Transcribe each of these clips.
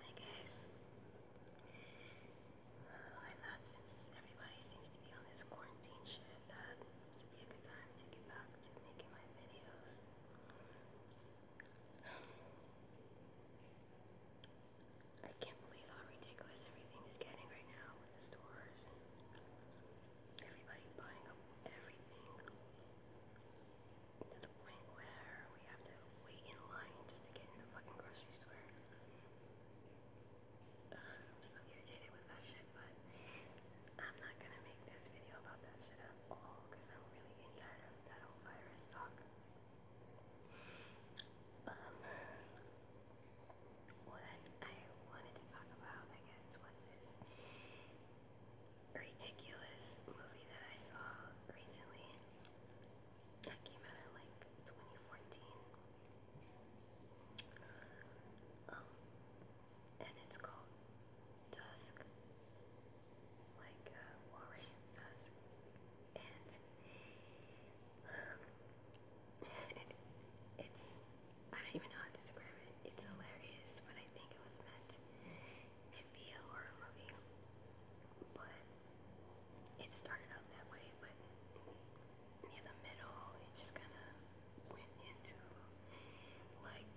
Hi guys. I thought since everybody seems to be on this quarantine shit that this would be a good time to get back to making my videos. I can't believe how ridiculous everything is getting right now with the stores everybody buying up everything to the point where we have to wait in line just to get in the fucking grocery store. Ugh, I'm so irritated with that shit, but I'm not gonna make this video about that shit at all because I'm really getting tired of that whole virus talk. Um, what I wanted to talk about, I guess, was this ridiculous movie that I saw recently that came out in like 2014. Um, and it's called Dusk, like uh, Dusk. And it's, I don't even know how to describe it. It's hilarious, but I think it was meant to be a horror movie, but it started out that way, but near the middle, it just kind of went into like,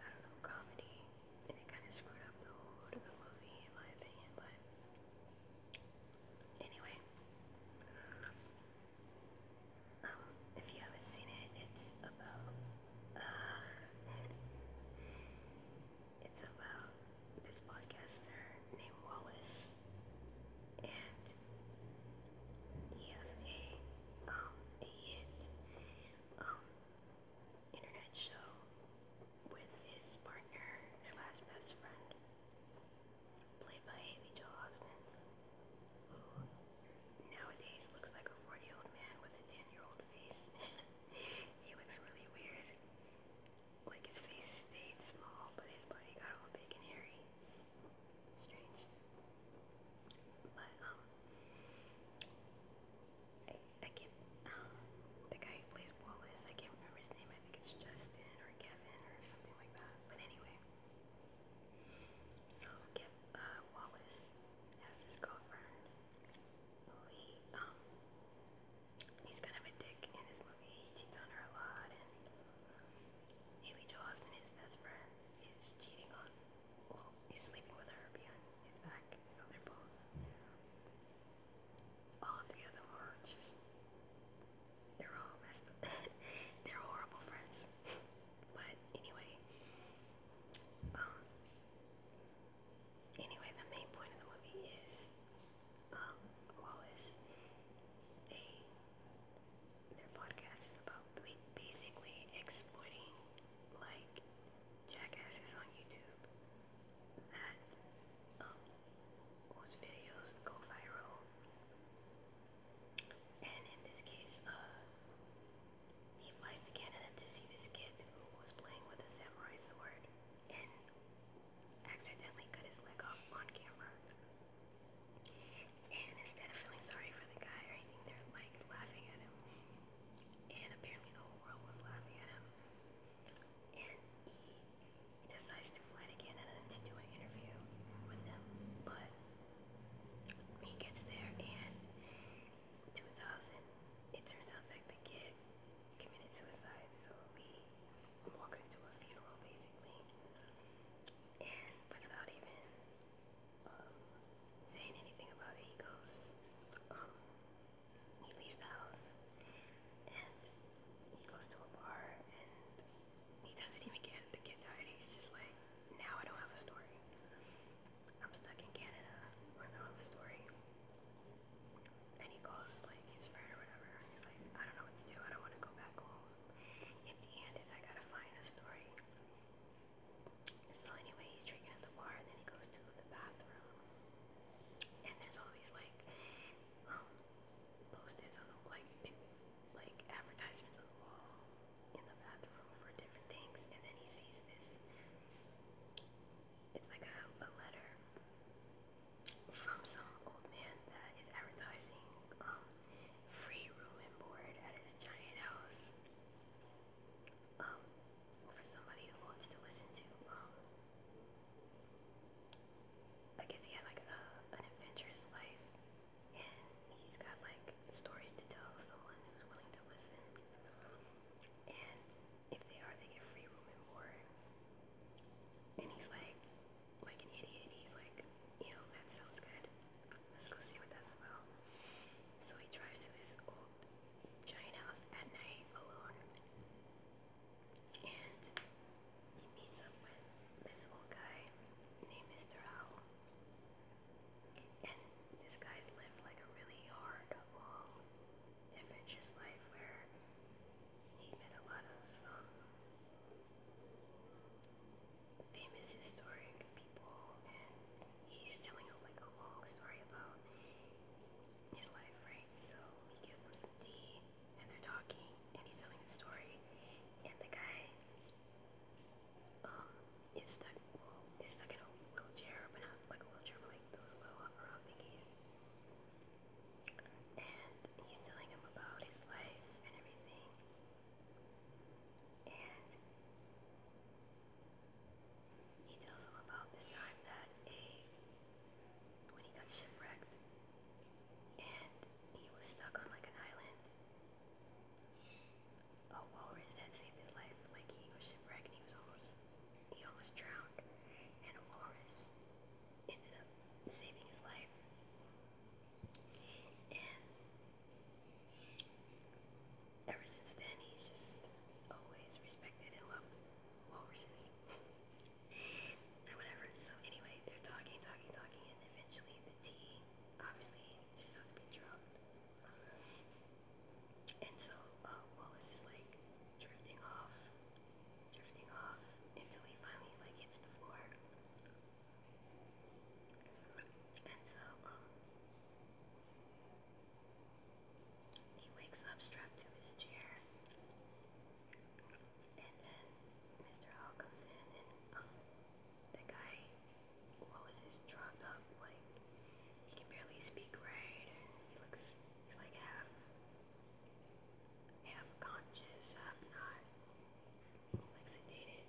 I don't know, comedy, and it kind of screwed up the whole movie, in my opinion, but anyway. Um, if you haven't seen it, it's about uh, it's about this podcaster named Wallace, and he has a um a hit um internet show with his partner slash best friend, played by Haley Joel Osment, who nowadays looks like a 40 year old man with a 10 year old face. he looks really weird. Like his face stayed small, but his body got all big and hairy. strange. But, um, I, I can't, um, the guy plays Wallace, I can't remember his name. I think it's Justin or Kevin or something like that. But anyway, so Kev, uh, Wallace has his girlfriend who he um he's kind of a dick in this movie. He cheats on her a lot and Haley Joel Osment, his best friend, is cheating on well, he's sleeping with her behind his back. So they're both all three of them are just they're all messed up. they're horrible friends. But anyway, um, anyway, the main point of the movie is, um, Wallace, a their podcast is about basically exploiting like jackasses on YouTube that um whose videos go viral. And in this case, uh he flies to Canada to see this kid who was playing with a samurai sword and accidentally cut his leg off on camera. And instead of feeling sorry for the guy or anything, they're like laughing at him. And apparently the whole world was laughing at him. And he decides to fly to Canada to do an interview with him. But he gets there and 2000, it turns out that the kid committed suicide, so we walked into a funeral basically, and without even um, saying anything about it, he goes, um, he leaves the house, and he goes to a bar, and he doesn't even get the kid died. He's just like, now I don't have a story. I'm stuck in Canada or the home story. And he calls like his friend or whatever. he's like, I don't know what to do. I don't want to go back home. Empty-handed. I gotta find a story. So anyway, he's drinking at the bar, then he goes to the bathroom. And there's all these like um, post like, like advertisements on the wall in the bathroom for different things, and then he sees this. It's like a, a letter from some old man that is advertising um, free room and board at his giant house um, for somebody who wants to listen to. Um, I guess he had like a, an adventurous life and he's got like stories to tell someone who's willing to listen. And if they are, they get free room and board. And he's like, like an idiot. He's like, you know, that sounds good. Let's go see what that's about. So he drives to this old giant house at night alone, and he meets up with this old guy named Mr. Owl. And this guy's lived like a really hard, adventurous life where he met a lot of um, famous historic people, and he's telling like a long story about his life, right? So he gives them some tea, and they're talking, and he's telling the story, and the guy um, is stuck, well, stuck in a wheelchair, but not like a wheelchair, like those little hover thingies. And he's telling him about his life and everything. And he tells him about this time that a when he got shipwrecked and he was stuck on like an island a walrus had saved his life. Like he was shipwrecked, and he was almost he almost drowned, and a walrus ended up saving his life. And ever since then, he's just always respected and loved walruses. or whatever. So anyway, they're talking, talking, talking, and eventually the tea obviously turns out to be drunk. And so uh, Wallace is like drifting off, drifting off until he finally like hits the floor. And so um, he wakes up strapped to his chair. And then Mr. Hall comes in and um, the guy, what was his drugged up? Like he can barely speak right, he looks, he's like half, half conscious, half not. He's like sedated.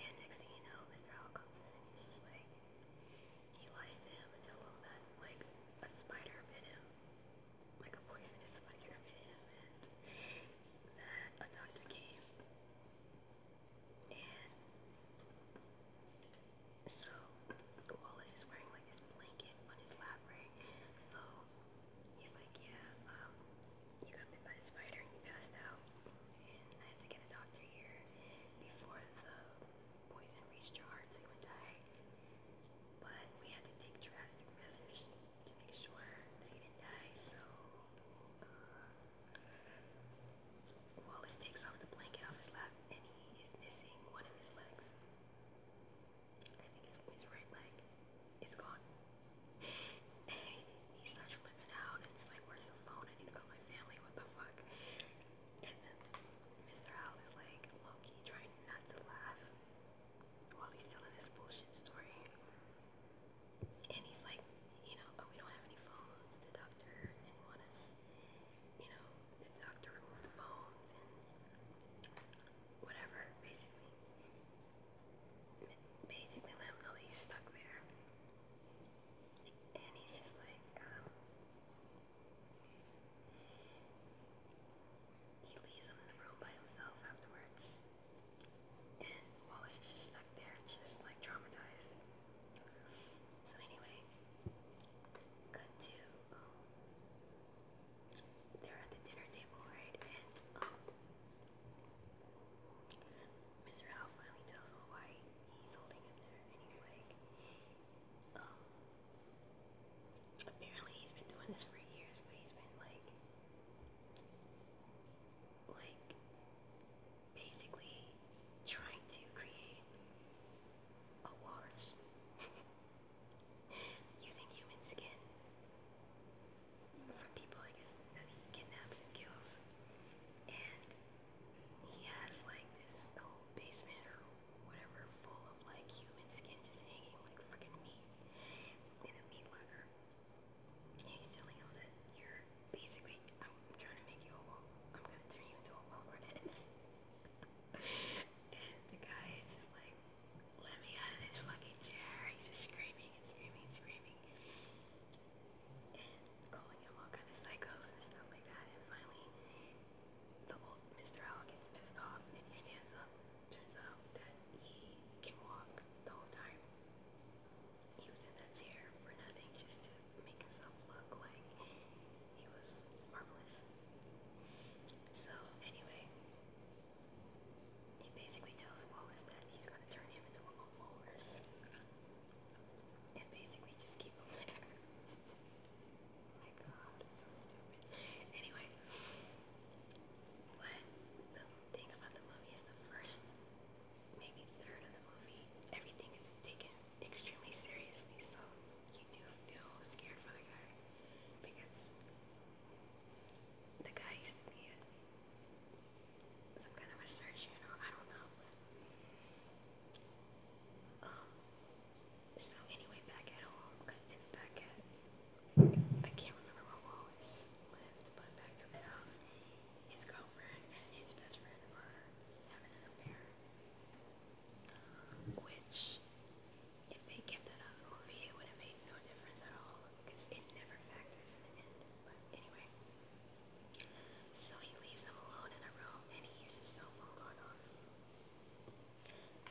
And next thing you know, Mr. Owl he's just like, he lies to him and tells him that like a spider bit him, like a poisonous spider bit him, that a doctor came and so Wallace is wearing like this blanket on his lab ring. So he's like, yeah, um, you got bit by a spider and you passed out. And I had to get a doctor here before the poison reached your heart so you would die. But we had to take drastic measures to make sure that he didn't die. So, uh, Wallace takes off the blanket off his lap, and he is missing one of his legs. I think his, his right leg is gone. he starts flipping out, and it's like, "Where's the phone? I need to call my family. What the fuck?" And then Mr. Owl is like, Loki, trying not to laugh while he's telling his bullshit story. And he's like, you know, oh, we don't have any phones. The doctor did want us, you know, the doctor removed the phones and whatever, basically. Basically, let him stuck there. And he's just like, um, he leaves him in the room by himself afterwards. And Wallace is just stuck there, just like traumatized. So anyway, cut to um, they're at the dinner table, right? And um, Miss finally tells him why he's holding him there, and he's like, um, apparently he's been doing this for years, but he's been like like basically trying to create a using human skin from people I guess that he kidnaps and kills. And he has like this whole basement or whatever full of like human skin just hanging like freaking meat in a meat locker. Hey, silly Hilda, you're basically. I'm trying to make you a wall. I'm gonna turn you into a wall and the guy is just like, let me out of this fucking chair. He's just screaming and screaming and screaming. And calling him all kind of psychos and stuff like that. And finally, the old Mr. Owl gets pissed off and he stands up Turns out that he can walk the whole time. He was in that chair for nothing just to make himself look like he was harmless. So, anyway, he basically tells Wallace that he's going to turn him into a walrus and basically just keep him there. oh my god, so stupid. Anyway, but the thing about the movie is the first, maybe third of the movie, everything is taken extremely seriously, so you do feel scared for the guy because the guy used to be some kind of a surgeon, or I don't know. um. So anyway, back at home, back at I can't remember where Wallace lived, but back to his house, his girlfriend and his best friend are having an affair. which, if they kept that out of the movie, it would have made no difference at all, because it never factors in the end. But anyway. So he leaves them alone in a room and he uses cell phone on off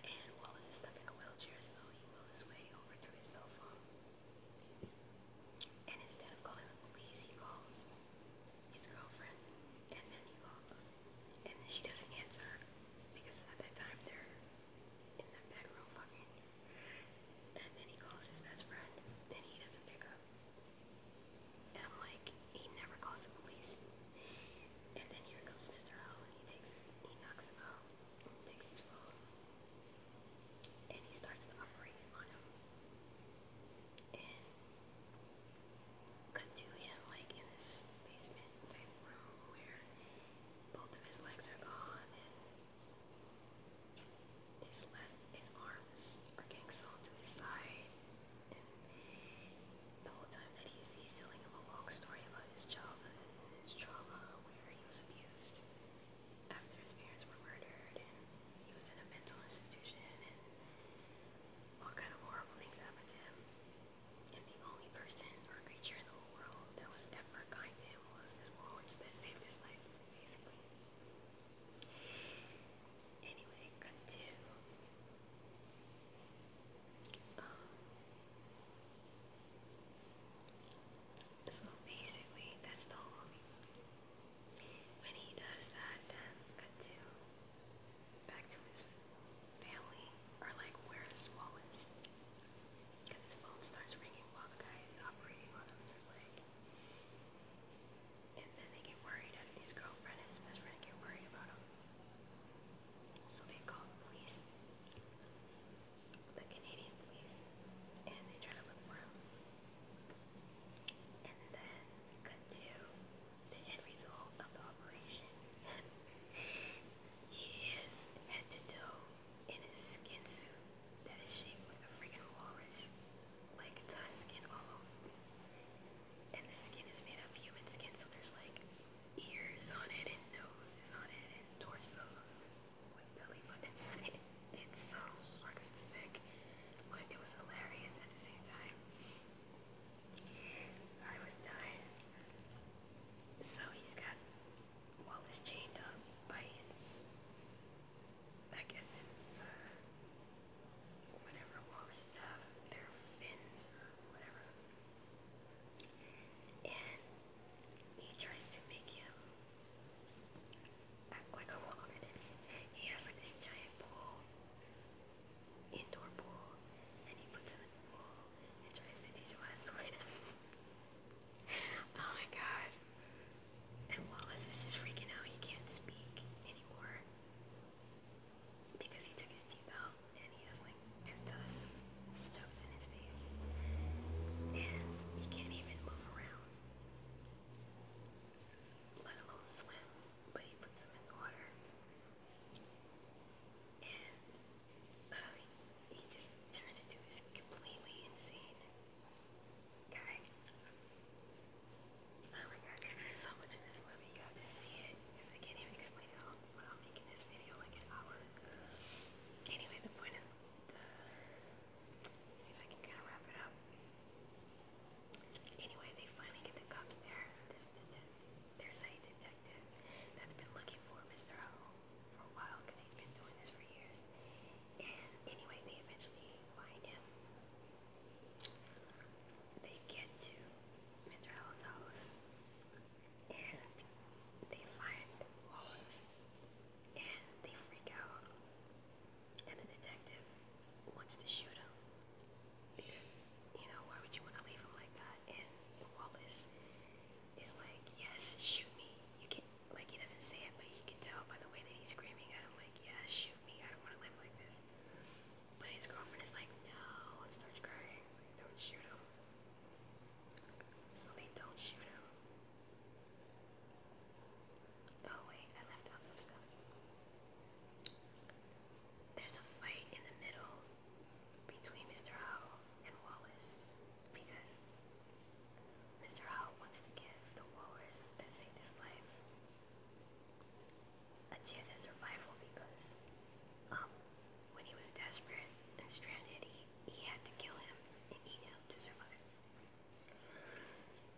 and Wallace is stuck in a wheelchair, so he wheels his way over to his cell phone. And instead of calling the police, he calls his girlfriend, and then he calls, and she doesn't answer because at that time they're in the bedroom fucking. And then he calls his best friend, and he doesn't pick up. And I'm like, he never calls the police. And then here comes Mr. O, and he takes he knocks him out and he starts to operate on him. And cut to him like in this basement type room where both of his legs are gone and his leg, his arms are getting sewn to his side. And the whole time that he's he's telling him a long story about his childhood and his trauma where he was abused after his parents were murdered, and he was in a mental institution, and all kind of horrible things happened to him. And the only person or creature in the whole world that was ever kind to him was this witch that saved his life, basically. Anyway, cut um, so basically, that's the whole When he does that, then cut to back to his family, or like where his because his phone starts ringing while the guy operating on him. There's like, and then they get worried, his girlfriend his best friend get worried about him. So they called police, the Canadian police, and they tried to look for him. And then cut to the end result of the operation. he is head to toe in a skin suit that is shaped like a freaking walrus, like tusk skin all over. And the skin is made of human skin, so there's like ears on it and nose is on it and torsos with belly buttons on it. It's so fucking sick, but it was hilarious at the same time. I was dying. So he's got Wallace chained up by his, I guess, uh, whatever walruses have, their fins or whatever and he tries to make you act like a wilderness. He has like this giant pool, indoor pool, and he puts him in the pool and tries to teach you how to swim. oh my god. And Wallace is just freaking out. He can't speak anymore because he took his teeth out and he has like two tusks stuffed in his face, and he can't even move around, let alone swim. But he puts him in the water, and uh, he just turns into this completely insane guy. Oh my god, there's just so much in this movie. You have to see it because I can't even explain it all what i this video, like an hour. Anyway, the point of the. see if I can kind of wrap it up. Anyway, they finally get the cops there. There's, a detective that's been looking for Mr. Owl for a while because he's been doing this for years. And anyway, they eventually find him. They get to Mr. Owl's house and they find Wallace and they freak out. And the detective wants to shoot him because, you know, why would you want to leave him like that? And Wallace is like, yes, shoot me. You can't, like, he doesn't say it, but you can tell by the way that he's screaming at him, like, yeah, shoot me. I don't want to live like this. But his girlfriend is like, no, starts crying. don't shoot him. So they don't shoot him. Oh wait, I left out some stuff. There's a fight in the middle between Mr. Howell and Wallace because Mr. Howe wants to give the Wallace that saved his life a chance at survival because um, when he was desperate and stranded, he, he had to kill him and he him to survive.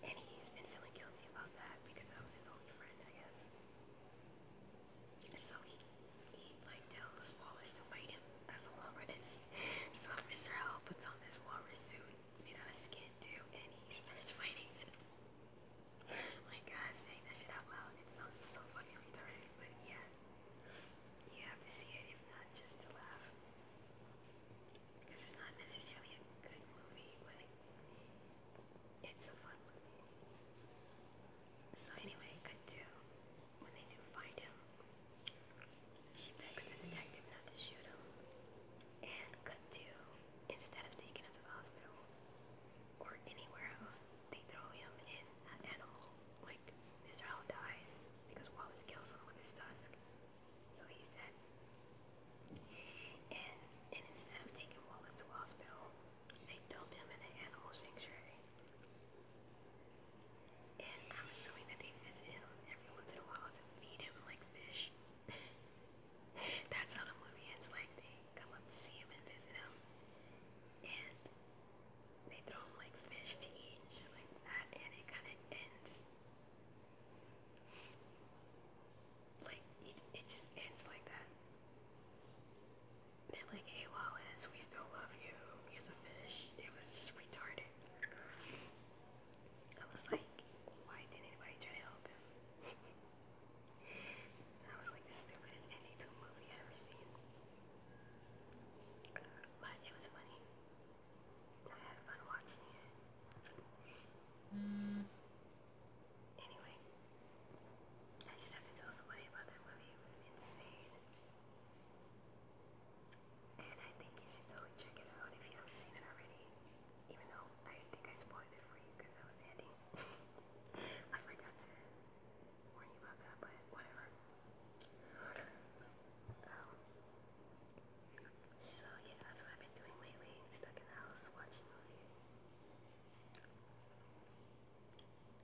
And he's been feeling guilty about that because that was his only friend, I guess. So he, he like tells Wallace to fight him as a walrus. So Mr. Owl puts on this walrus suit made out of skin too, and he starts fighting my god, saying that shit out loud, it sounds so fucking retarded, but yeah. You have to see it if not just to laugh. Because it's not necessarily a good movie, but it's a fun So anyway, good when they do find him. She begs the detective not to shoot him. And cut instead of taking him to the hospital or anywhere else, they throw him in an animal. Like, Mr. Owl dies because Wallace kills him with his tusk. So he's dead. And, and instead of taking Wallace to hospital, they dump him in an animal sanctuary. And I'm assuming that they visit him every once in a while to feed him like fish. That's how the movie ends, like they come up to see him and visit him. And they throw him like fish to eat and shit like that, and it kind of ends. Like, it, it just ends like that. They're like, hey Wallace, we still love you. Here's a fish. It was retarded. I was like, why didn't anybody try to help him? That was like the stupidest ending to a movie i ever seen. But it was funny. I had fun watching it. Mm. Anyway, I just have to tell somebody about that movie. It was insane. And I think you should totally check it out if you haven't seen it already. Even though I think I spoiled it for you because that was ending. I forgot to warn you about that, but whatever. Um, so yeah, that's what I've been doing lately. Stuck in the house watching movies.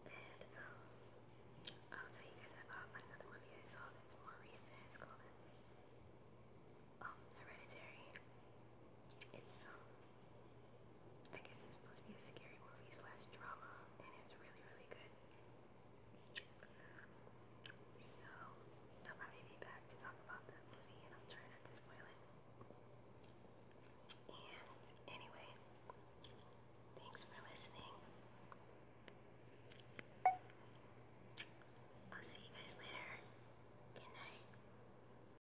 And um, I'll tell you guys about another movie I saw that's more recent. It's called um, Hereditary. I guess it's supposed to be a scary movie slash drama, and it's really, really good. So, I'll probably be back to talk about that movie, and I'm trying not to spoil it. And anyway, thanks for listening. I'll see you guys later. Good night.